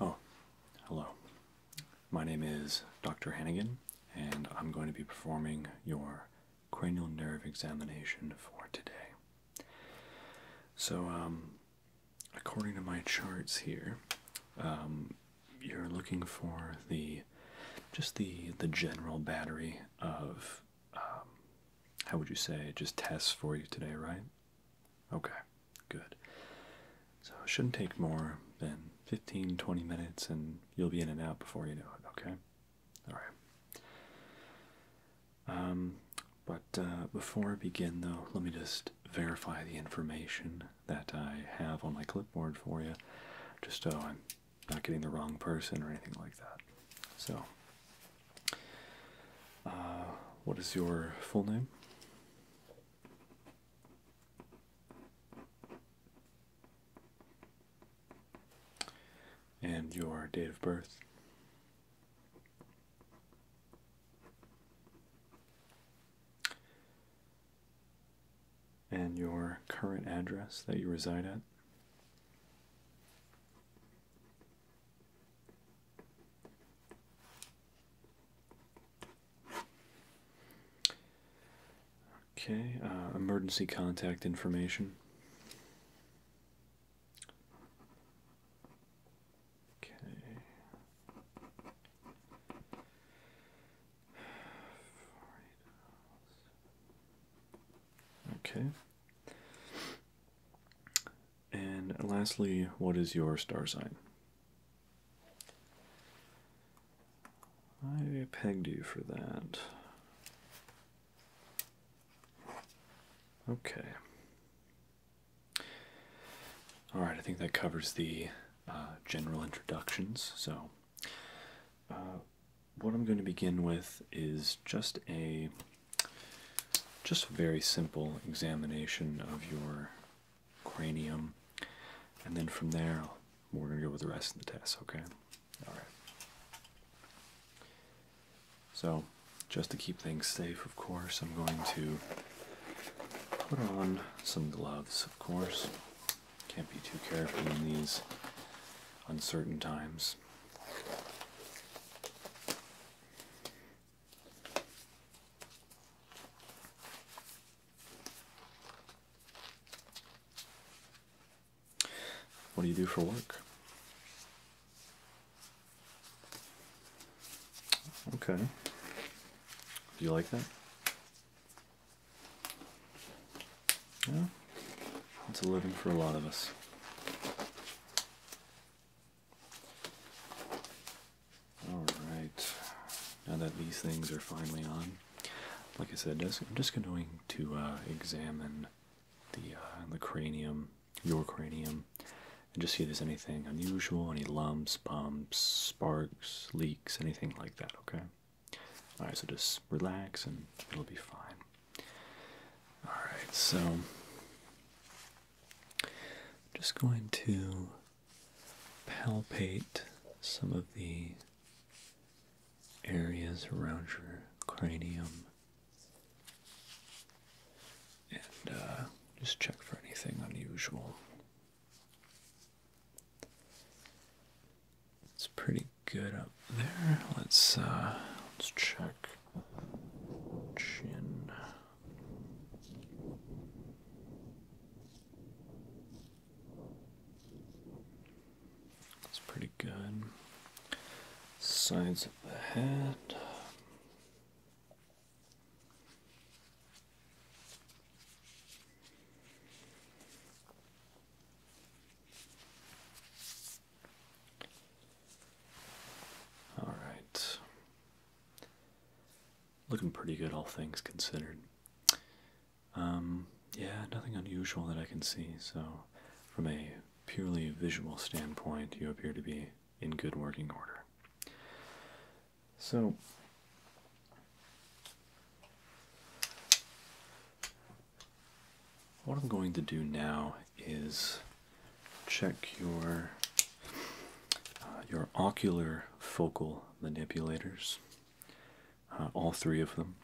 Oh, hello. My name is Dr. Hannigan, and I'm going to be performing your cranial nerve examination for today. So, um, according to my charts here, um, you're looking for the just the the general battery of um, how would you say, just tests for you today, right? Okay, good. So it shouldn't take more than 15, 20 minutes, and you'll be in and out before you know it, okay? All right. Um, but uh, before I begin, though, let me just verify the information that I have on my clipboard for you, just so I'm not getting the wrong person or anything like that. So, uh, what is your full name? And your date of birth? And your current address that you reside at? Okay, uh, emergency contact information. Okay. And lastly, what is your star sign? I pegged you for that. Okay. All right, I think that covers the uh, general introductions. So, uh, what I'm going to begin with is just a just a very simple examination of your cranium, and then from there we're going to go with the rest of the test, okay? All right. So, just to keep things safe, of course, I'm going to put on some gloves, of course. Can't be too careful in these uncertain times. What do you do for work? Okay. Do you like that? Yeah. It's a living for a lot of us. Alright, now that these things are finally on, like I said, I'm just going to uh, examine the, uh, the cranium, your cranium, and just see if there's anything unusual, any lumps, bumps, sparks, leaks, anything like that, okay? Alright, so just relax and it'll be fine. Alright, so I'm just going to palpate some of the areas around your cranium and uh, just check for anything unusual. It's pretty good up there. Let's uh, let's check chin. That's pretty good. Sides of the head. All right. Looking pretty good, all things considered. Um, yeah, nothing unusual that I can see, so from a purely visual standpoint, you appear to be in good working order. So, what I'm going to do now is check your uh, your ocular focal manipulators, uh, all three of them,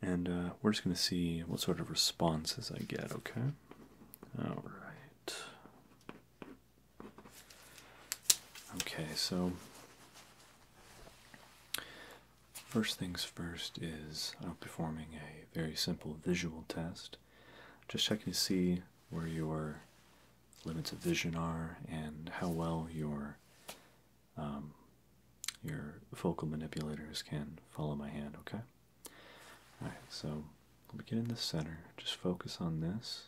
and uh, we're just going to see what sort of responses I get. Okay. All right. Okay, so First things first is I'm performing a very simple visual test. Just checking to see where your limits of vision are and how well your um, your focal manipulators can follow my hand, okay? Alright, so let me get in the center. Just focus on this.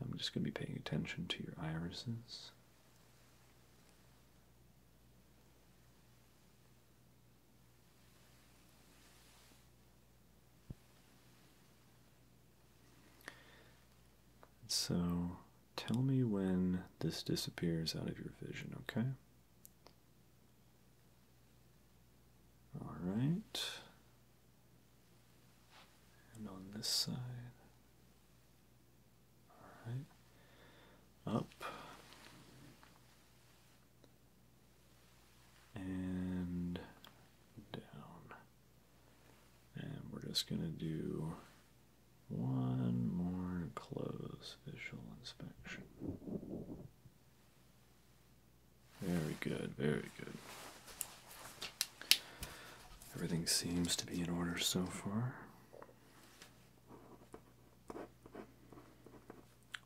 I'm just going to be paying attention to your irises. So tell me when this disappears out of your vision, okay? All right. And on this side. Up. And down. And we're just going to do one more close visual inspection. Very good, very good. Everything seems to be in order so far.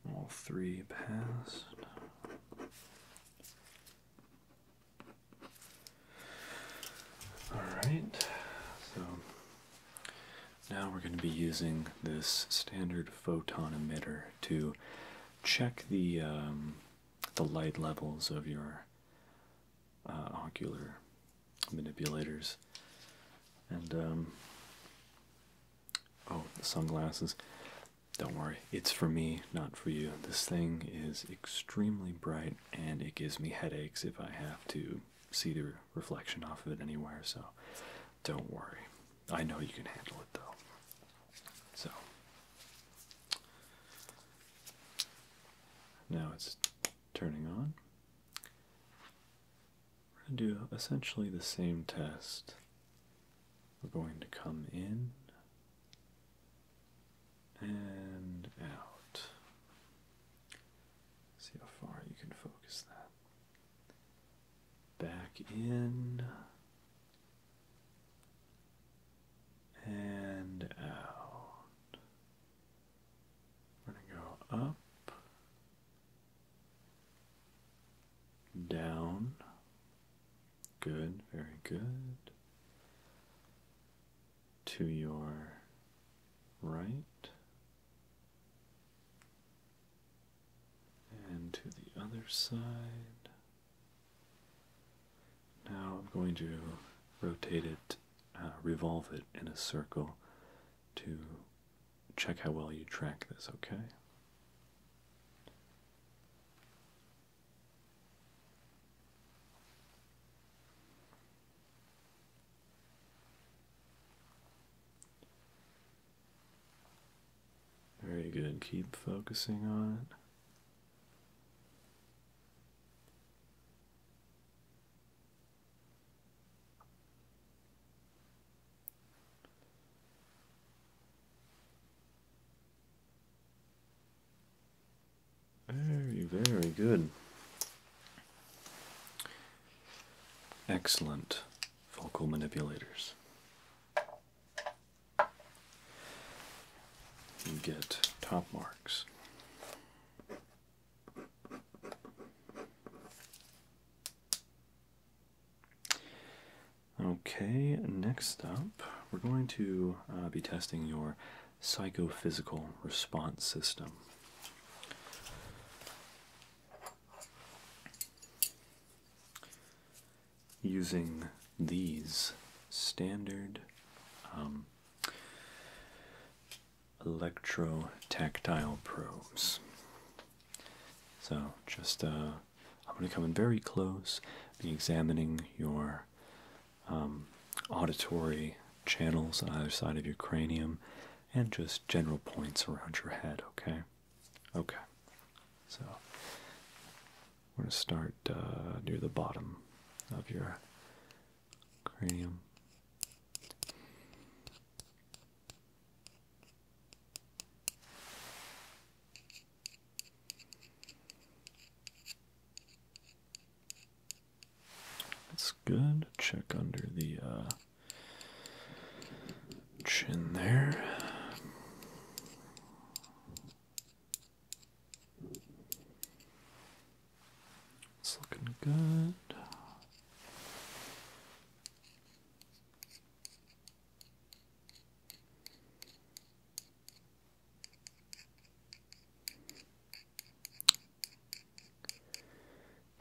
All three passed. Alright, so now we're going to be using this standard photon emitter to check the, um, the light levels of your uh, ocular manipulators. And, um, oh, the sunglasses. Don't worry, it's for me, not for you. This thing is extremely bright and it gives me headaches if I have to see the reflection off of it anywhere, so don't worry. I know you can handle it though. So, now it's turning on. We're going to do essentially the same test. We're going to come in and out. See how far you can focus that. Back in and out. We're going to go up down. Good, very good. To your right and to the other side. Now I'm going to rotate it, uh, revolve it in a circle to check how well you track this, okay? Very good. Keep focusing on it. Very, very good. Excellent vocal manipulators. You get top marks. Okay, next up, we're going to uh, be testing your psychophysical response system. Using these standard um, Electro-tactile probes. So just uh, I'm going to come in very close, be examining your um, auditory channels on either side of your cranium, and just general points around your head. Okay, okay. So we're going to start uh, near the bottom of your cranium. That's good. Check under the uh, chin there. It's looking good.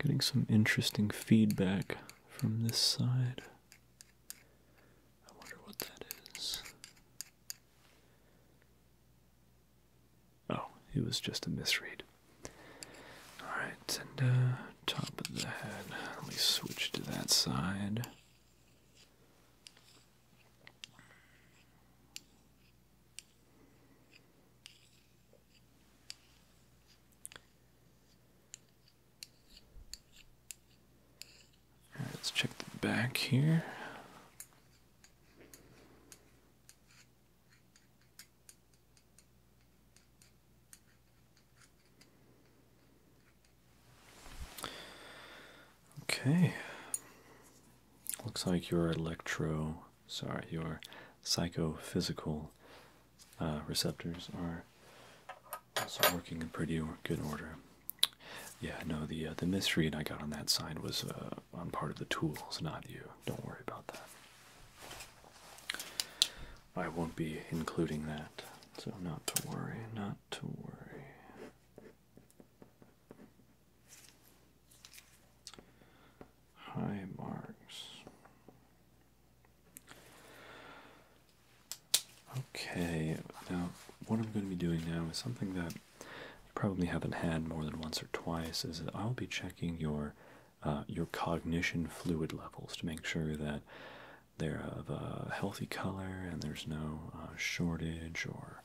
Getting some interesting feedback from this side. I wonder what that is. Oh, it was just a misread. Alright, and uh, top of the head. Let me switch to that side. let's check the back here. Okay. Looks like your electro, sorry, your psychophysical uh, receptors are also working in pretty good order. Yeah, no, the uh, the misread I got on that side was uh, on part of the tools, not you. Don't worry about that. I won't be including that, so not to worry, not to worry. High marks. Okay, now what I'm going to be doing now is something that you probably haven't had more than once or twice is that I'll be checking your uh, your cognition fluid levels to make sure that they're of a healthy color and there's no uh, shortage or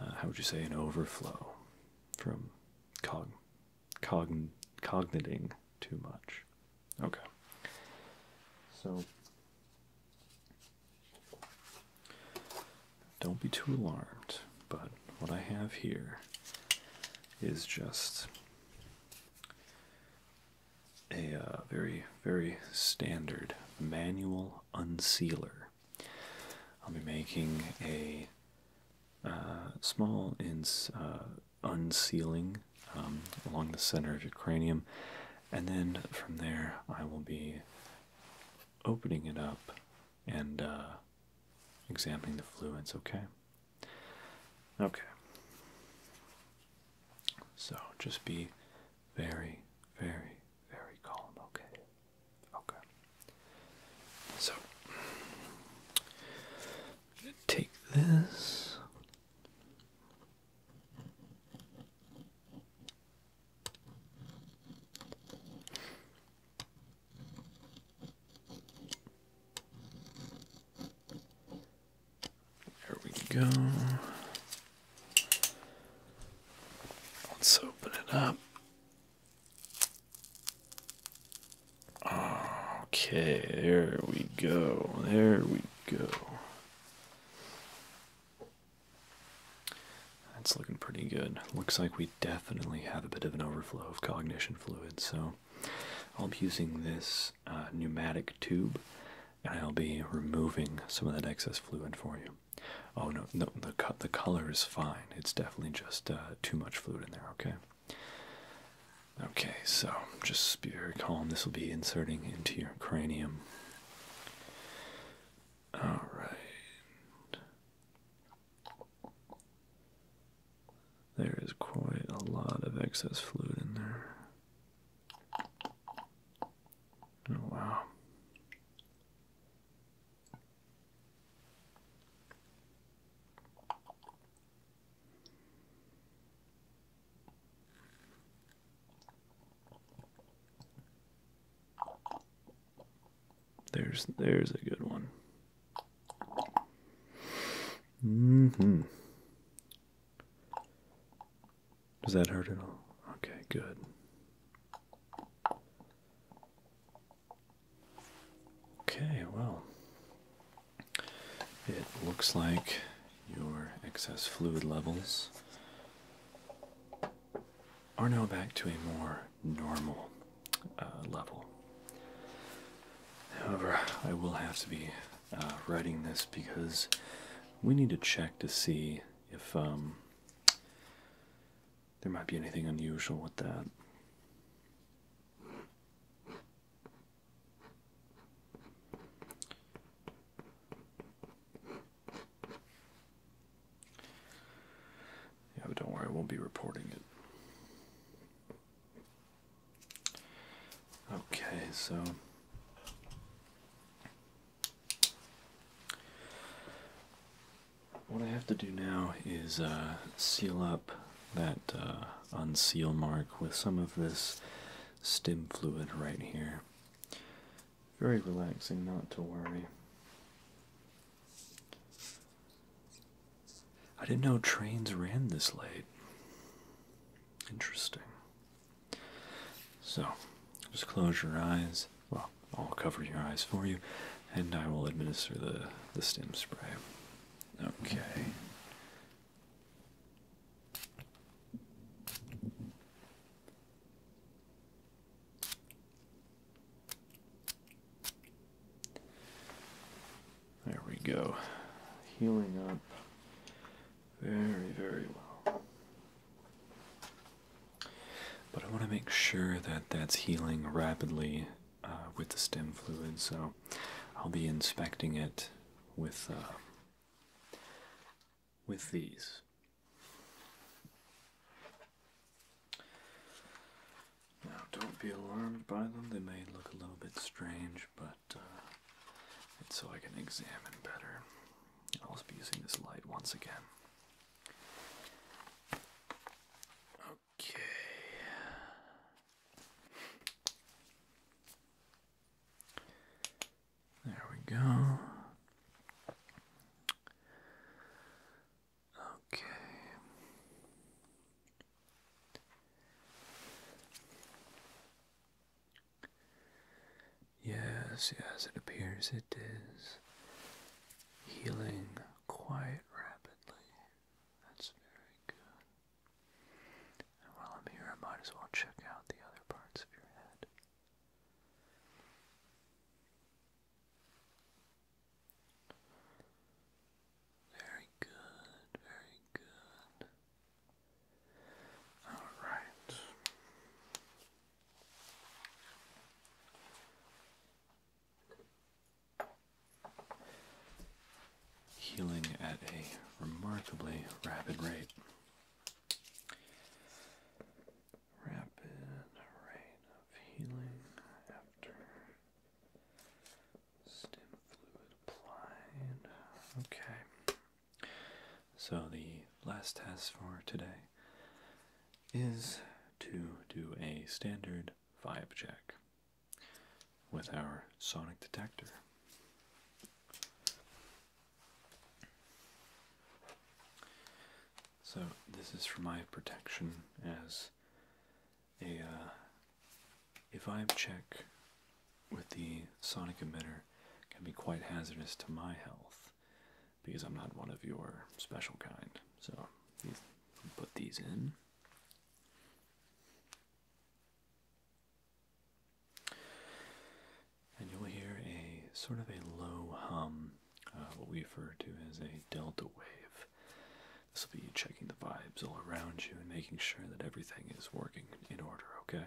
uh, how would you say an overflow from cog cogn cogniting too much okay so don't be too alarmed, but what I have here is just a uh, very, very standard manual unsealer. I'll be making a uh, small ins, uh, unsealing um, along the center of your cranium, and then from there I will be opening it up and examining the fluids, okay? Okay. So just be very, very, very calm, okay? Okay. So take this. There we go. Let's open it up. Okay, there we go. There we go. That's looking pretty good. Looks like we definitely have a bit of an overflow of cognition fluid, so I'll be using this uh, pneumatic tube and I'll be removing some of that excess fluid for you. Oh no, no the, co the color is fine. It's definitely just uh, too much fluid in there, okay? Okay, so just be very calm. This will be inserting into your cranium. Alright. There is quite a lot of excess fluid in there. Oh, wow. There's there's a good one. hmm Does that hurt at all? Okay, good. Okay, well. It looks like your excess fluid levels are now back to a more normal uh, level. However, I will have to be uh, writing this because we need to check to see if um, there might be anything unusual with that. Yeah, but don't worry, I will not be reporting it. Okay, so what I have to do now is uh, seal up that uh, unseal mark with some of this stem fluid right here. Very relaxing, not to worry. I didn't know trains ran this late. Interesting. So, just close your eyes. Well, I'll cover your eyes for you, and I will administer the, the stem spray. Okay. There we go. Healing up very, very well. But I want to make sure that that's healing rapidly uh, with the stem fluid, so I'll be inspecting it with uh, with these. Now, don't be alarmed by them. They may look a little bit strange, but uh, it's so I can examine better. I'll just be using this light once again. Okay. There we go. Okay. Yes, yes, it appears it is healing quite rapidly. That's very good. And while I'm here, I might as well check out the other parts of your head. Very good, very good. All right. Healing at a remarkably rapid rate rapid rate of healing after stem fluid applied. Okay. So the last task for today is to do a standard vibe check with our sonic detector. So, this is for my protection as a. Uh, a check with the sonic emitter can be quite hazardous to my health because I'm not one of your special kind. So, put these in. And you'll hear a sort of a low hum uh, what we refer to as a delta wave. This will be checking the vibes all around you and making sure that everything is working in order, okay?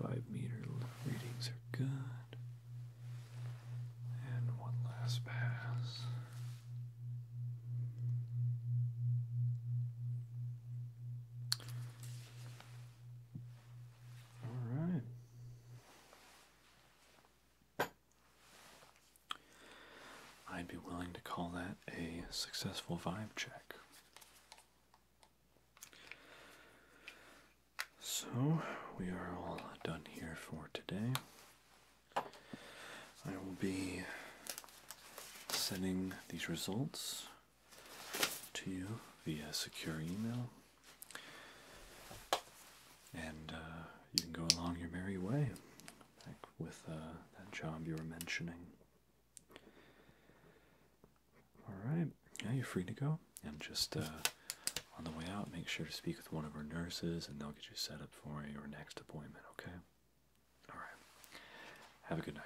Five meter readings are good. And one last pass. All right. I'd be willing to call that a successful vibe check. So, we are all done here for today. I will be sending these results to you via secure email. And uh, you can go along your merry way, like with uh, that job you were mentioning. Alright, yeah, you're free to go. And just uh, on the way out, make sure to speak with one of our nurses and they'll get you set up for your next appointment, okay? Alright, have a good night.